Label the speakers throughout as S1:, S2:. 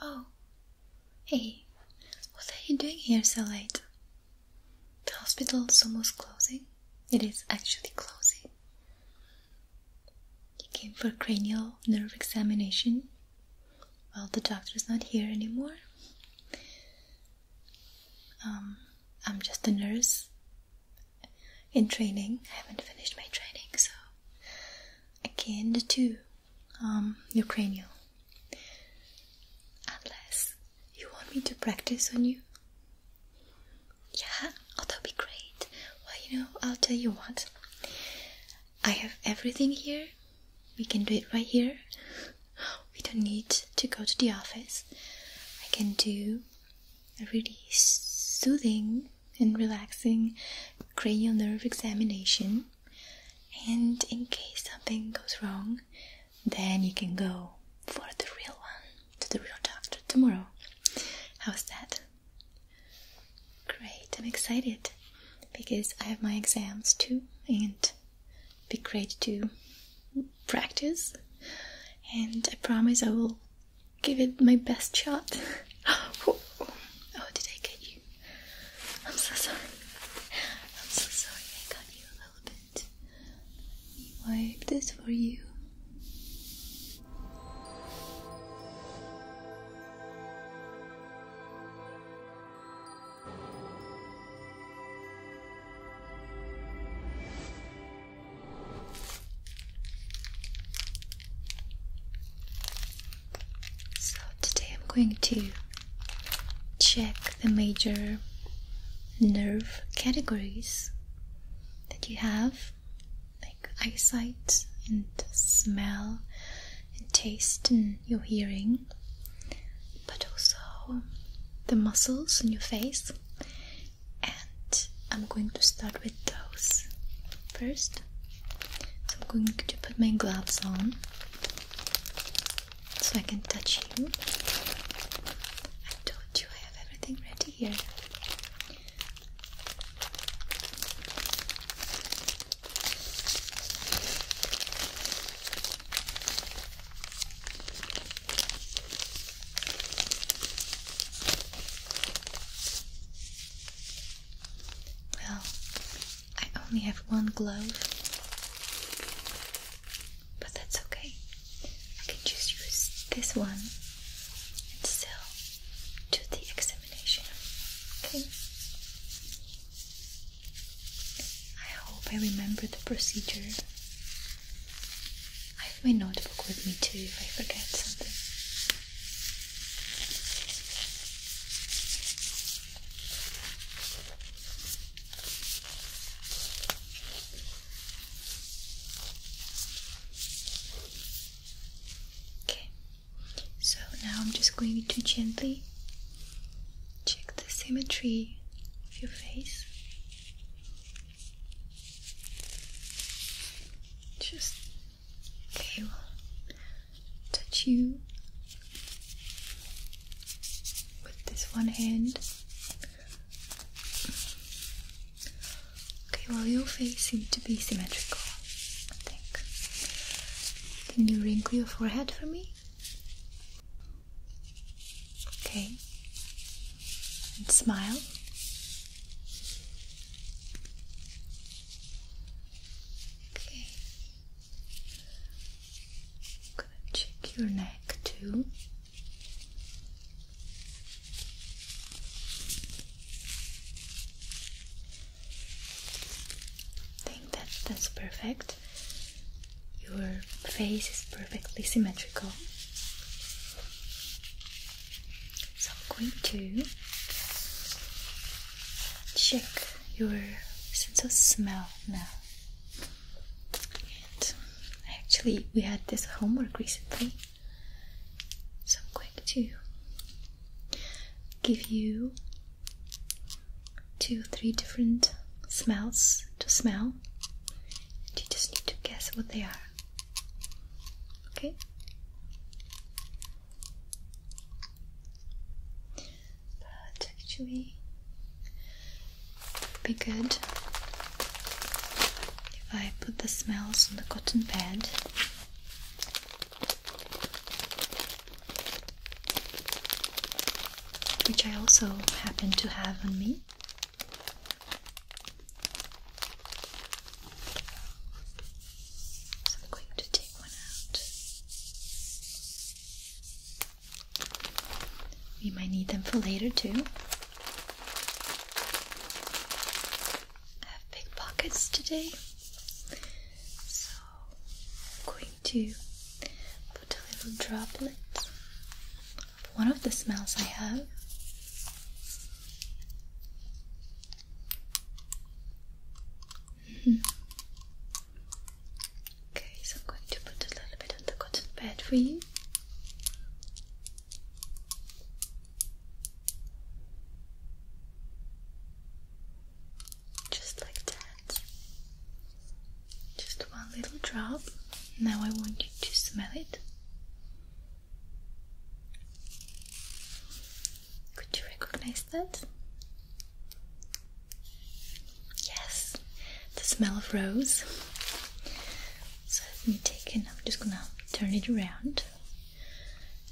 S1: Oh, hey, what are you doing here so late? The hospital is almost closing. It is actually closing. You came for cranial nerve examination. Well, the doctor's not here anymore. Um, I'm just a nurse in training. I haven't finished my training, so again the two um your cranial. Unless you want me to practice on you. Yeah, oh that would be great. Well you know, I'll tell you what. I have everything here. We can do it right here. We don't need to go to the office. I can do a really soothing and relaxing cranial nerve examination. And in case something goes wrong, then you can go for the real one to the real doctor tomorrow. How's that? Great, I'm excited because I have my exams too, and be great to practice. And I promise I will give it my best shot. oh, did I get you? I'm so sorry. I'm so sorry I got you a little bit. Wipe this for you. So today I'm going to check the major nerve categories that you have like eyesight and smell and taste and your hearing but also the muscles in your face I'm going to start with those first. So I'm going to put my gloves on so I can touch you. I told you I have everything ready here. Well, I only have one glove, but that's okay. I can just use this one and still do the examination. Okay. I hope I remember the procedure. I have my notebook with me too if I forget something. Okay, so now I'm just going to gently check the symmetry of your face. Just Okay, touch you with this one hand. Okay, well, your face seems to be symmetrical, I think. Can you wrinkle your forehead for me? Okay. And smile. Okay. I'm gonna check your neck too. think that that's perfect. Your face is perfectly symmetrical. So I'm going to check your sense of smell now. And actually, we had this homework recently, so I'm going to give you two or three different smells to smell. And you just need to guess what they are. Okay. But actually, be good if I put the smells on the cotton pad. Which I also happen to have on me. I'm going to take one out. We might need them for later too. I have big pockets today, so I'm going to put a little droplet of one of the smells I have Okay, so I'm going to put a little bit on the cotton pad for you. Just like that. Just one little drop. Now I want you to smell it. Could you recognize that? Yes, the smell of rose. So let me take it. I'm just gonna turn it around.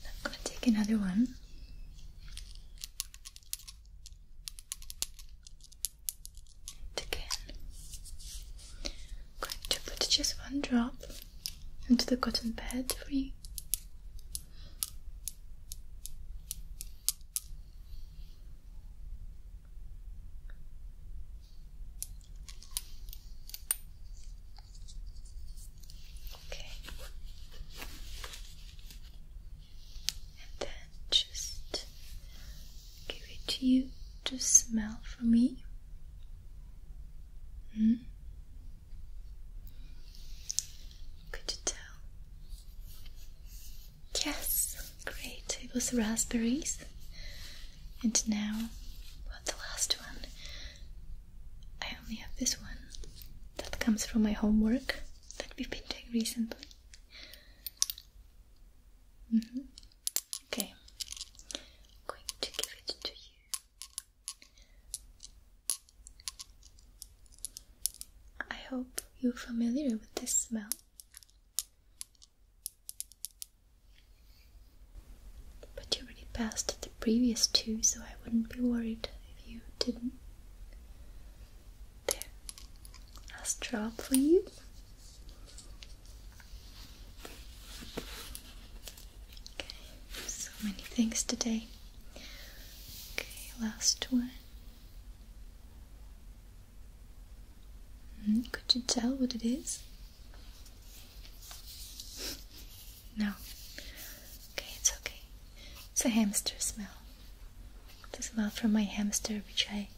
S1: I'm gonna take another one. again, I'm going to put just one drop into the cotton pad for you. Okay. And then just give it to you to smell for me. Mm. Could you tell? Yes, great. It was raspberries. And now, what the last one? I only have this one that comes from my homework that we've been doing recently. Mm-hmm. Okay, I'm going to give it to you. I hope you're familiar with this smell. But you already passed the previous two, so I wouldn't be worried if you didn't. There, last drop for you. Okay, so many things today. Okay, last one. Hmm, could you tell what it is? No. Okay, it's okay. It's a hamster smell. It's a smell from my hamster, which I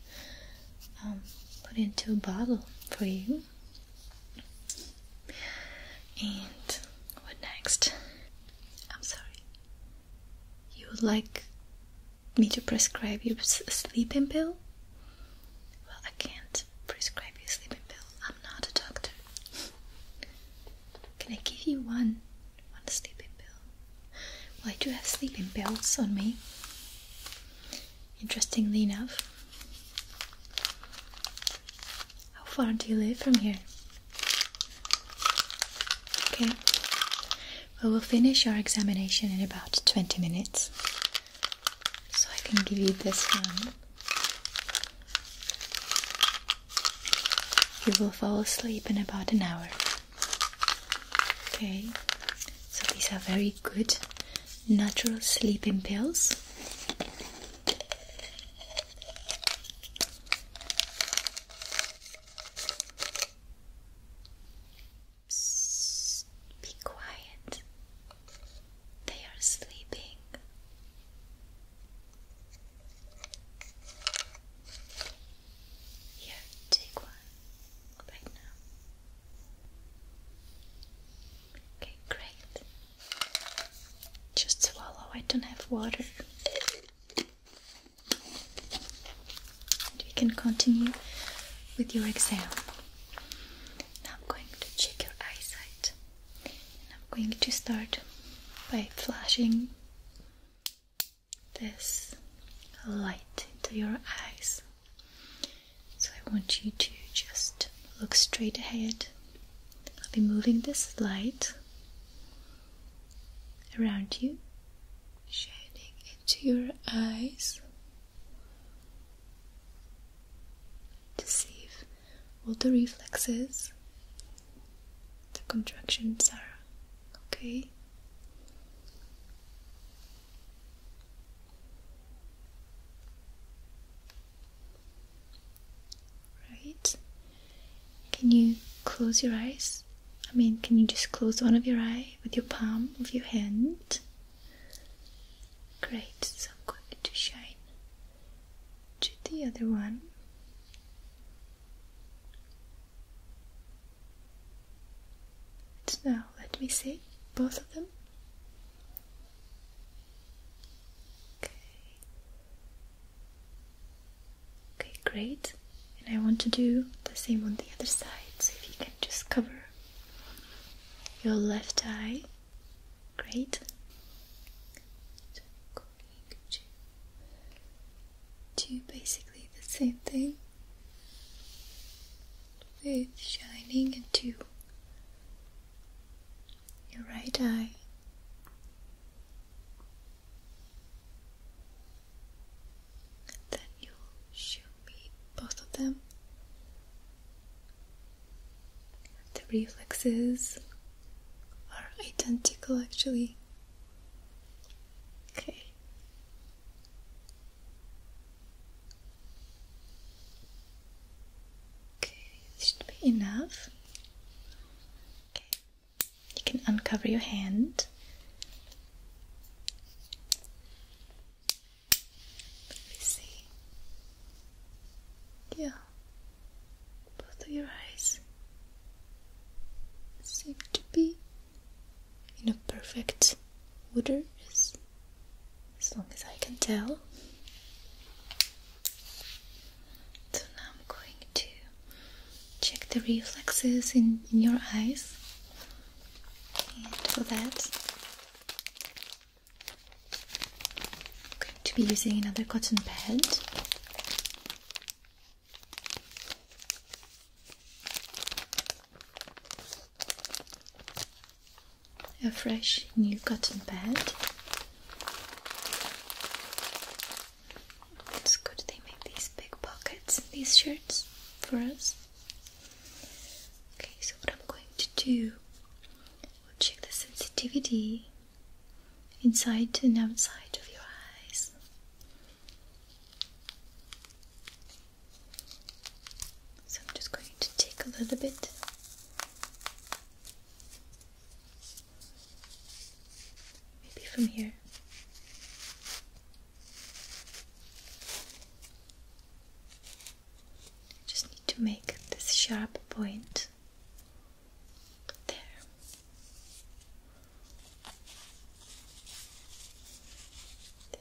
S1: um, put into a bottle for you. And what next? I'm sorry. You would like me to prescribe you a sleeping pill? Well, I can't prescribe you a sleeping pill. I'm not a doctor. Can I give you one? One sleeping pill? Well, I do have sleeping pills on me. Interestingly enough, how far do you live from here? Okay. Well, we'll finish our examination in about 20 minutes. So I can give you this one. You will fall asleep in about an hour. Okay, so these are very good natural sleeping pills be quiet. They are sleeping. Here, take one right now. Okay, great. Just swallow, I don't have water. And we can continue with your exam. Now I'm going to check your eyesight. And I'm going to start by flashing this light into your eyes. So I want you to just look straight ahead I'll be moving this light around you, shining into your eyes to see if all the reflexes, the contractions are okay. Right? Can you close your eyes? I mean, can you just close one of your eye with your palm of your hand? Great, so I'm going to shine to the other one. Now, let me see both of them. Okay. Okay, great. And I want to do the same on the other side. So if you can just cover your left eye. Great. do basically the same thing with shining and two your right eye. Then you show me both of them. The reflexes are identical actually. Okay. Okay, this should be enough. Okay, you can uncover your hand. Let me see. Yeah, both of your eyes seem to be in a perfect order, as long as I can tell. So now I'm going to check the reflexes in, your eyes. And for that, I'm going to be using another cotton pad a fresh new cotton bed. It's good they make these big pockets in these shirts for us. Okay, so what I'm going to do, we'll check the sensitivity inside and outside of your eyes. So I'm just going to take a little bit Maybe from here. Just need to make this sharp point there.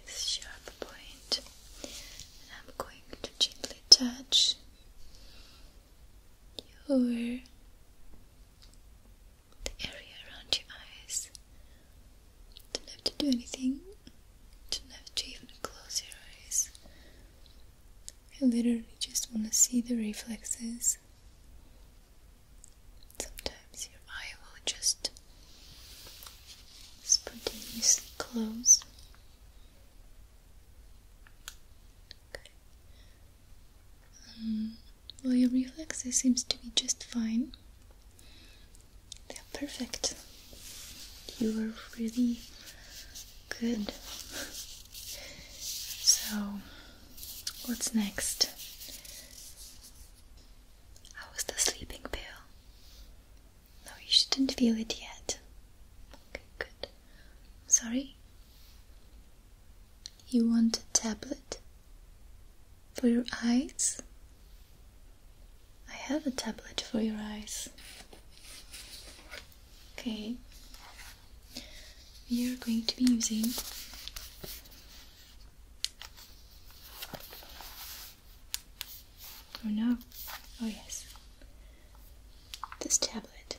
S1: This sharp point, and I'm going to gently touch your the area around your eyes. Don't have to do anything. Don't have to even close your eyes. I literally just want to see the reflexes. Sometimes your eye will just spontaneously close um, well, your reflexes seems to be just fine. They're perfect. You are really good. So, what's next? How was the sleeping pill? No, you shouldn't feel it yet. Okay, good. Sorry? You want a tablet? For your eyes? I have a tablet for your eyes. Okay. We are going to be using Oh no. Oh yes this tablet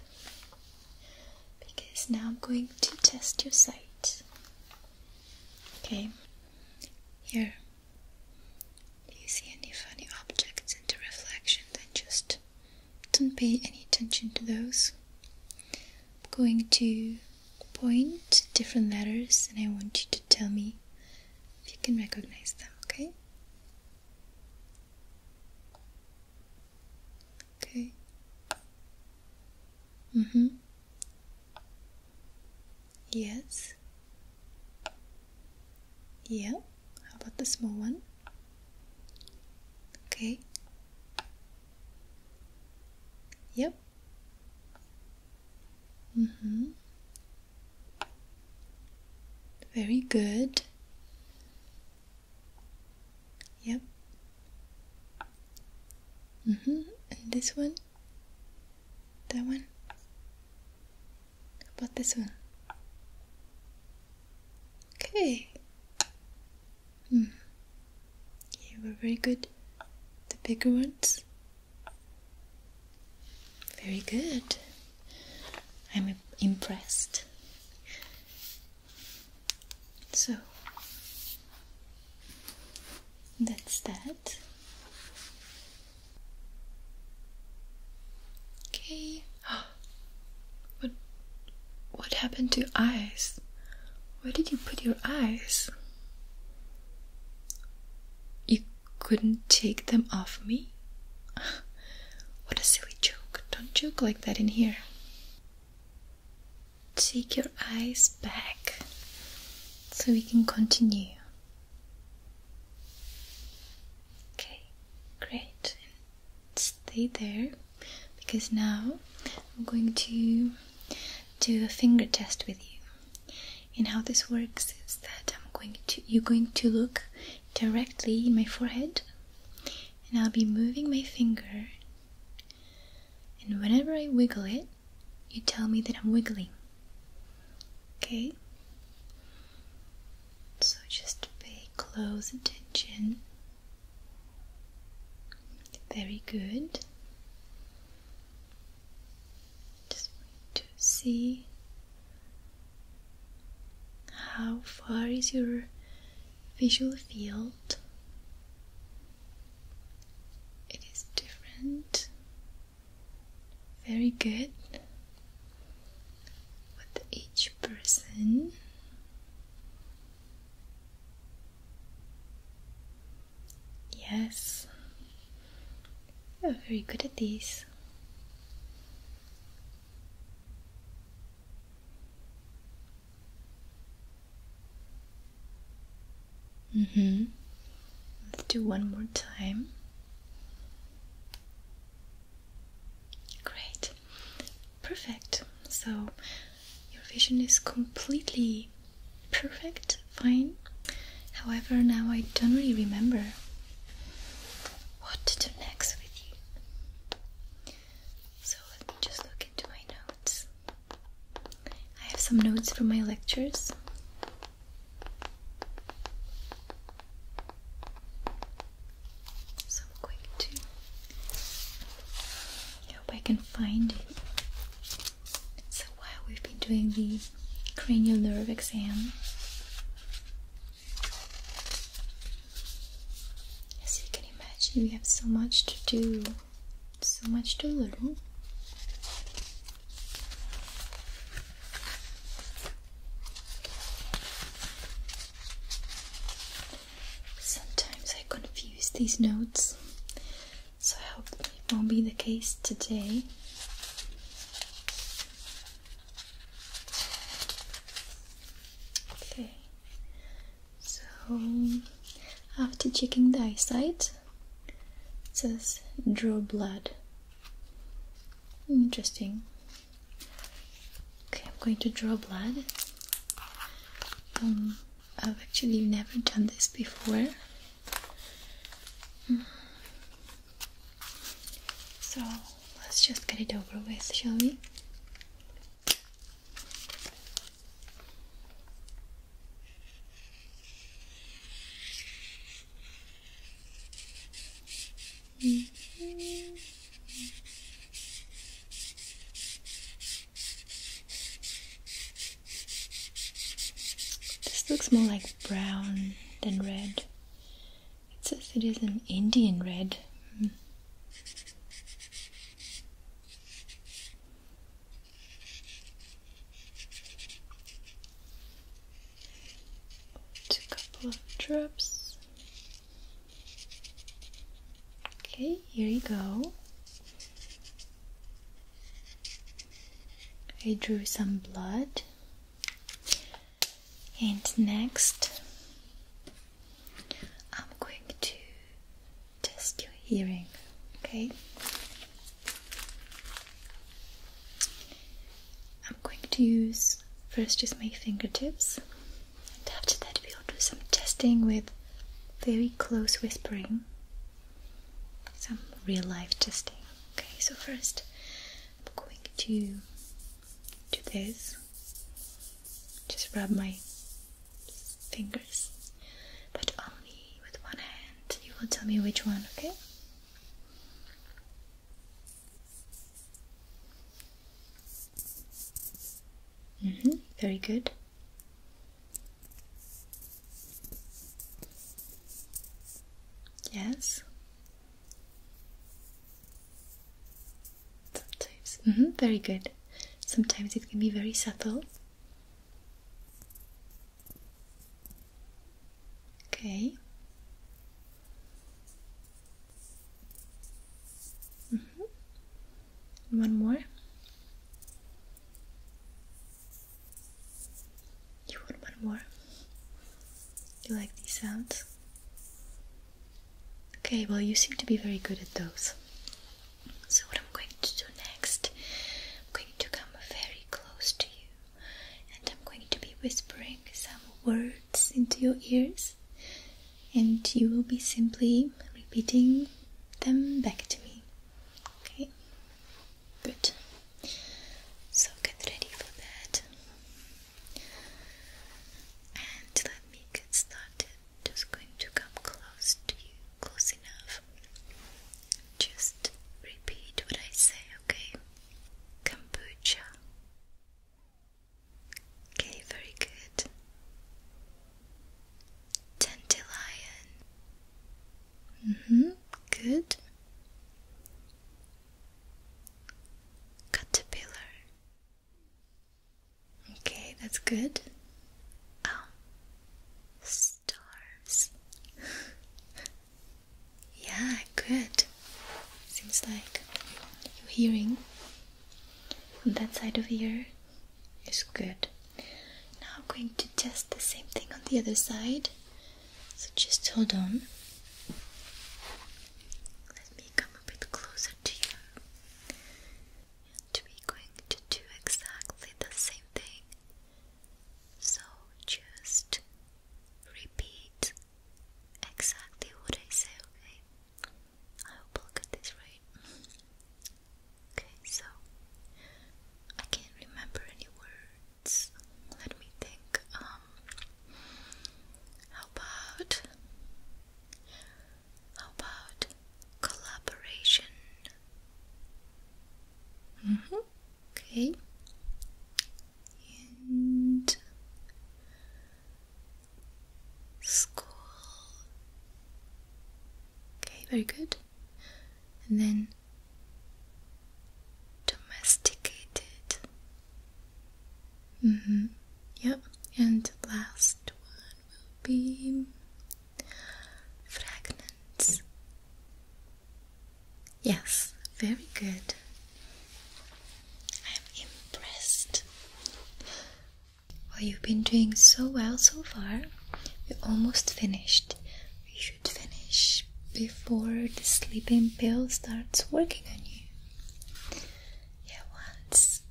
S1: because now I'm going to test your sight. Okay, here. Do you see any funny objects in the reflection? Then just don't pay any attention to those. I'm going to point different letters and I want you to tell me if you can recognize them, okay? Okay. Mm-hmm. Yes. Yeah. How about the small one? Okay. Yep. Mm-hmm. Very good. Yep. Mm hmm. And this one? That one? about this one? Okay. Hmm. You were very good. The bigger ones? Very good. I'm impressed. So that's that. Okay. What what happened to your eyes? Where did you put your eyes? You couldn't take them off me? what a silly joke. Don't joke like that in here. Take your eyes back so we can continue. Okay, great. stay there because now I'm going to do a finger test with you. And how this works is that I'm going to you're going to look directly in my forehead and I'll be moving my finger. And whenever I wiggle it, you tell me that I'm wiggling. Okay? So just pay close attention. Very good. Just to see how far is your visual field? It is different. Very good. With each person, yes, you're very good at these. Mm hmm Let's do one more time. Great. Perfect. So your vision is completely perfect, fine. However, now I don't really remember what to do next with you. So let me just look into my notes. I have some notes from my lectures. So I'm I hope I can find it. So while we've been doing the cranial nerve exam, as you can imagine, we have so much to do, so much to learn. Sometimes I confuse these notes, so I hope it won't be the case today. Okay, so after checking the eyesight, it says draw blood. Interesting. Okay, I'm going to draw blood. Um, I've actually never done this before. Mm. So let's just get it over with, shall we? Mm-hmm. This looks more like brown than red. It says it is an Indian red. Hmm. a couple of drops. Okay, here you go. I drew some blood and next, I'm going to test your hearing, okay? I'm going to use first just my fingertips, and after that, we'll do some testing with very close whispering, some real life testing. Okay, so first, I'm going to do this just rub my fingers, but only with one hand. You will tell me which one, okay? Mm-hmm, very good. Yes. Sometimes. Mm-hmm, very good. Sometimes it can be very subtle. Okay. Mm-hmm. One more. You want one more? You like these sounds? Okay, well, you seem to be very good at those. So, what I'm going to do next, I'm going to come very close to you and I'm going to be whispering some words into your ears, and you will be simply repeating them back to me. Okay? Good. So, get ready for that. And let me get started. Just going to come close to you, close enough. Just repeat what I say, okay? Kombucha. Okay, very good. Dandelion. Mm-hmm, good. Caterpillar. Okay, that's good. Oh, stars. yeah, good. Seems like your hearing on that side of ear is good. Now I'm going to test the same thing on the other side. So just hold on. Let me come a bit closer to you. And we going to do exactly the same thing. So just repeat exactly what I say, okay? I hope I'll get this right. Okay, so I can't remember any words. Let me think. Um, how about how about collaboration? Mm -hmm. Okay. And school. Okay, very good. And then domesticated. Mm -hmm. Yep, and last one will be fragments. Yes, very good. I'm impressed. Well, you've been doing so well so far. We're almost finished. We should finish before the sleeping pill starts working on you. Yeah, once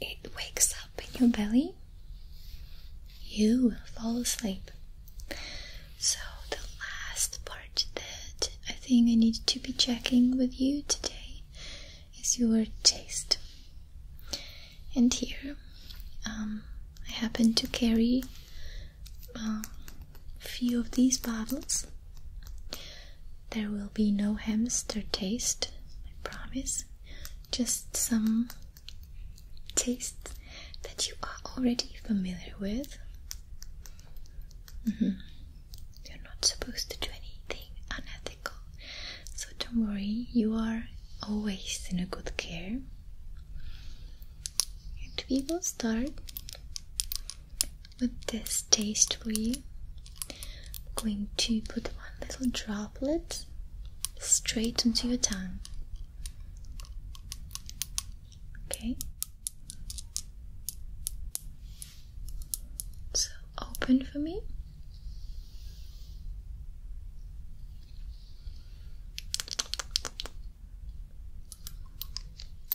S1: it wakes up in your belly, you will fall asleep. So, the last part that I think I need to be checking with you today is your taste. And here, um, I happen to carry um, a few of these bottles there will be no hamster taste, I promise. Just some taste that you are already familiar with. Mm-hmm. You're not supposed to do anything unethical, so don't worry, you are always in a good care. And we will start with this taste for you. I'm going to put one little droplet straight onto your tongue. Okay. So open for me.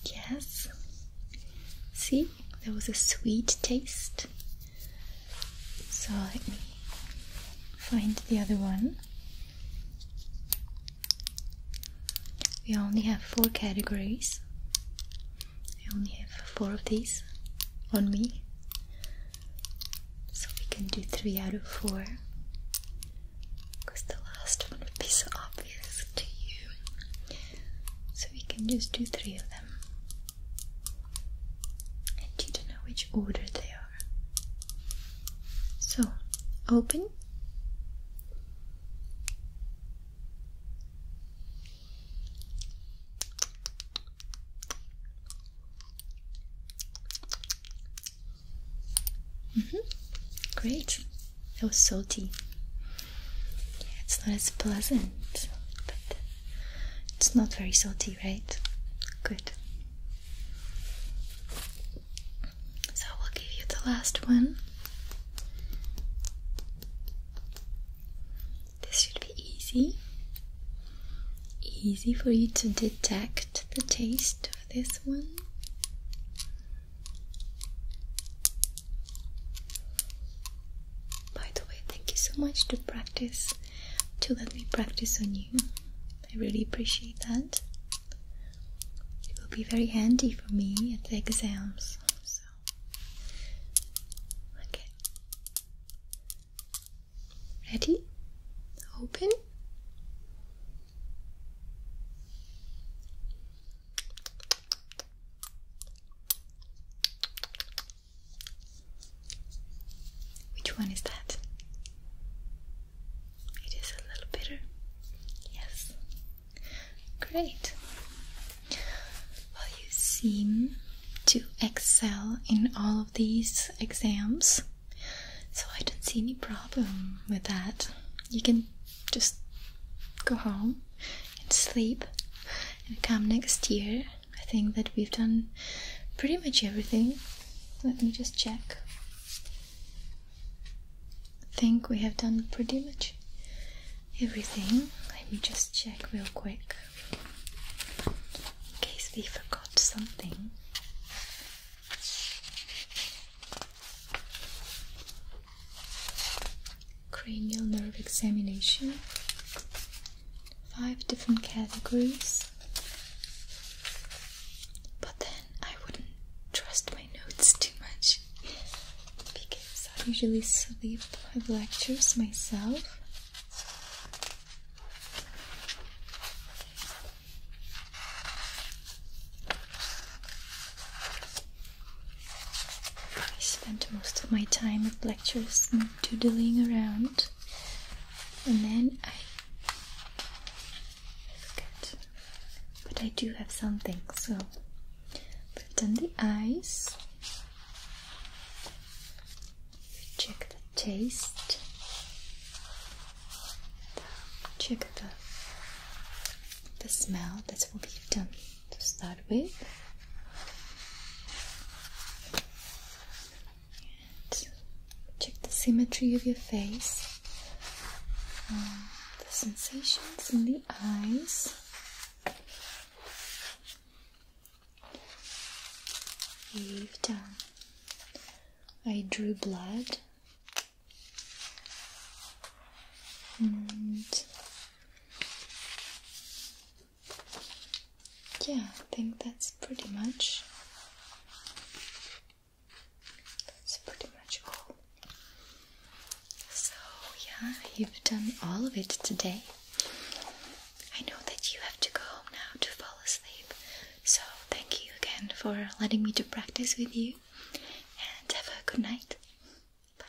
S1: Yes. See? there was a sweet taste. So let me find the other one. We only have four categories. I only have four of these on me. So we can do three out of four. Because the last one would be so obvious to you. So we can just do three of them. And you don't know which order they are. So open. Mm -hmm. Great. That was salty it's not as pleasant, but it's not very salty, right? Good. So we will give you the last one. This should be easy. Easy for you to detect the taste of this one. By the way, thank you so much to practice to let me practice on you. I really appreciate that. It will be very handy for me at the exams. So okay. Ready? Open. Which one is that? It is a little bitter. Yes. Great. Well, you seem to excel in all of these exams, so I don't see any problem with that. You can just go home and sleep and come next year. I think that we've done pretty much everything. Let me just check. I think we have done pretty much everything. Let me just check real quick in case we forgot something cranial nerve examination, five different categories. But then I wouldn't trust my notes too much because I usually sleep my lectures myself. I spent most of my time at lectures. Just doodling around, and then I forget. But I do have something, so we've done the eyes. Check the taste. Check the the smell. That's what we've done to start with. check the symmetry of your face, um, the sensations in the eyes. We've done. I drew blood and yeah, I think that's pretty much that's pretty much all. So yeah, you've done all of it today. I know that you have to go home now to fall asleep. So thank you again for letting me do practice with you and have a good night. Bye.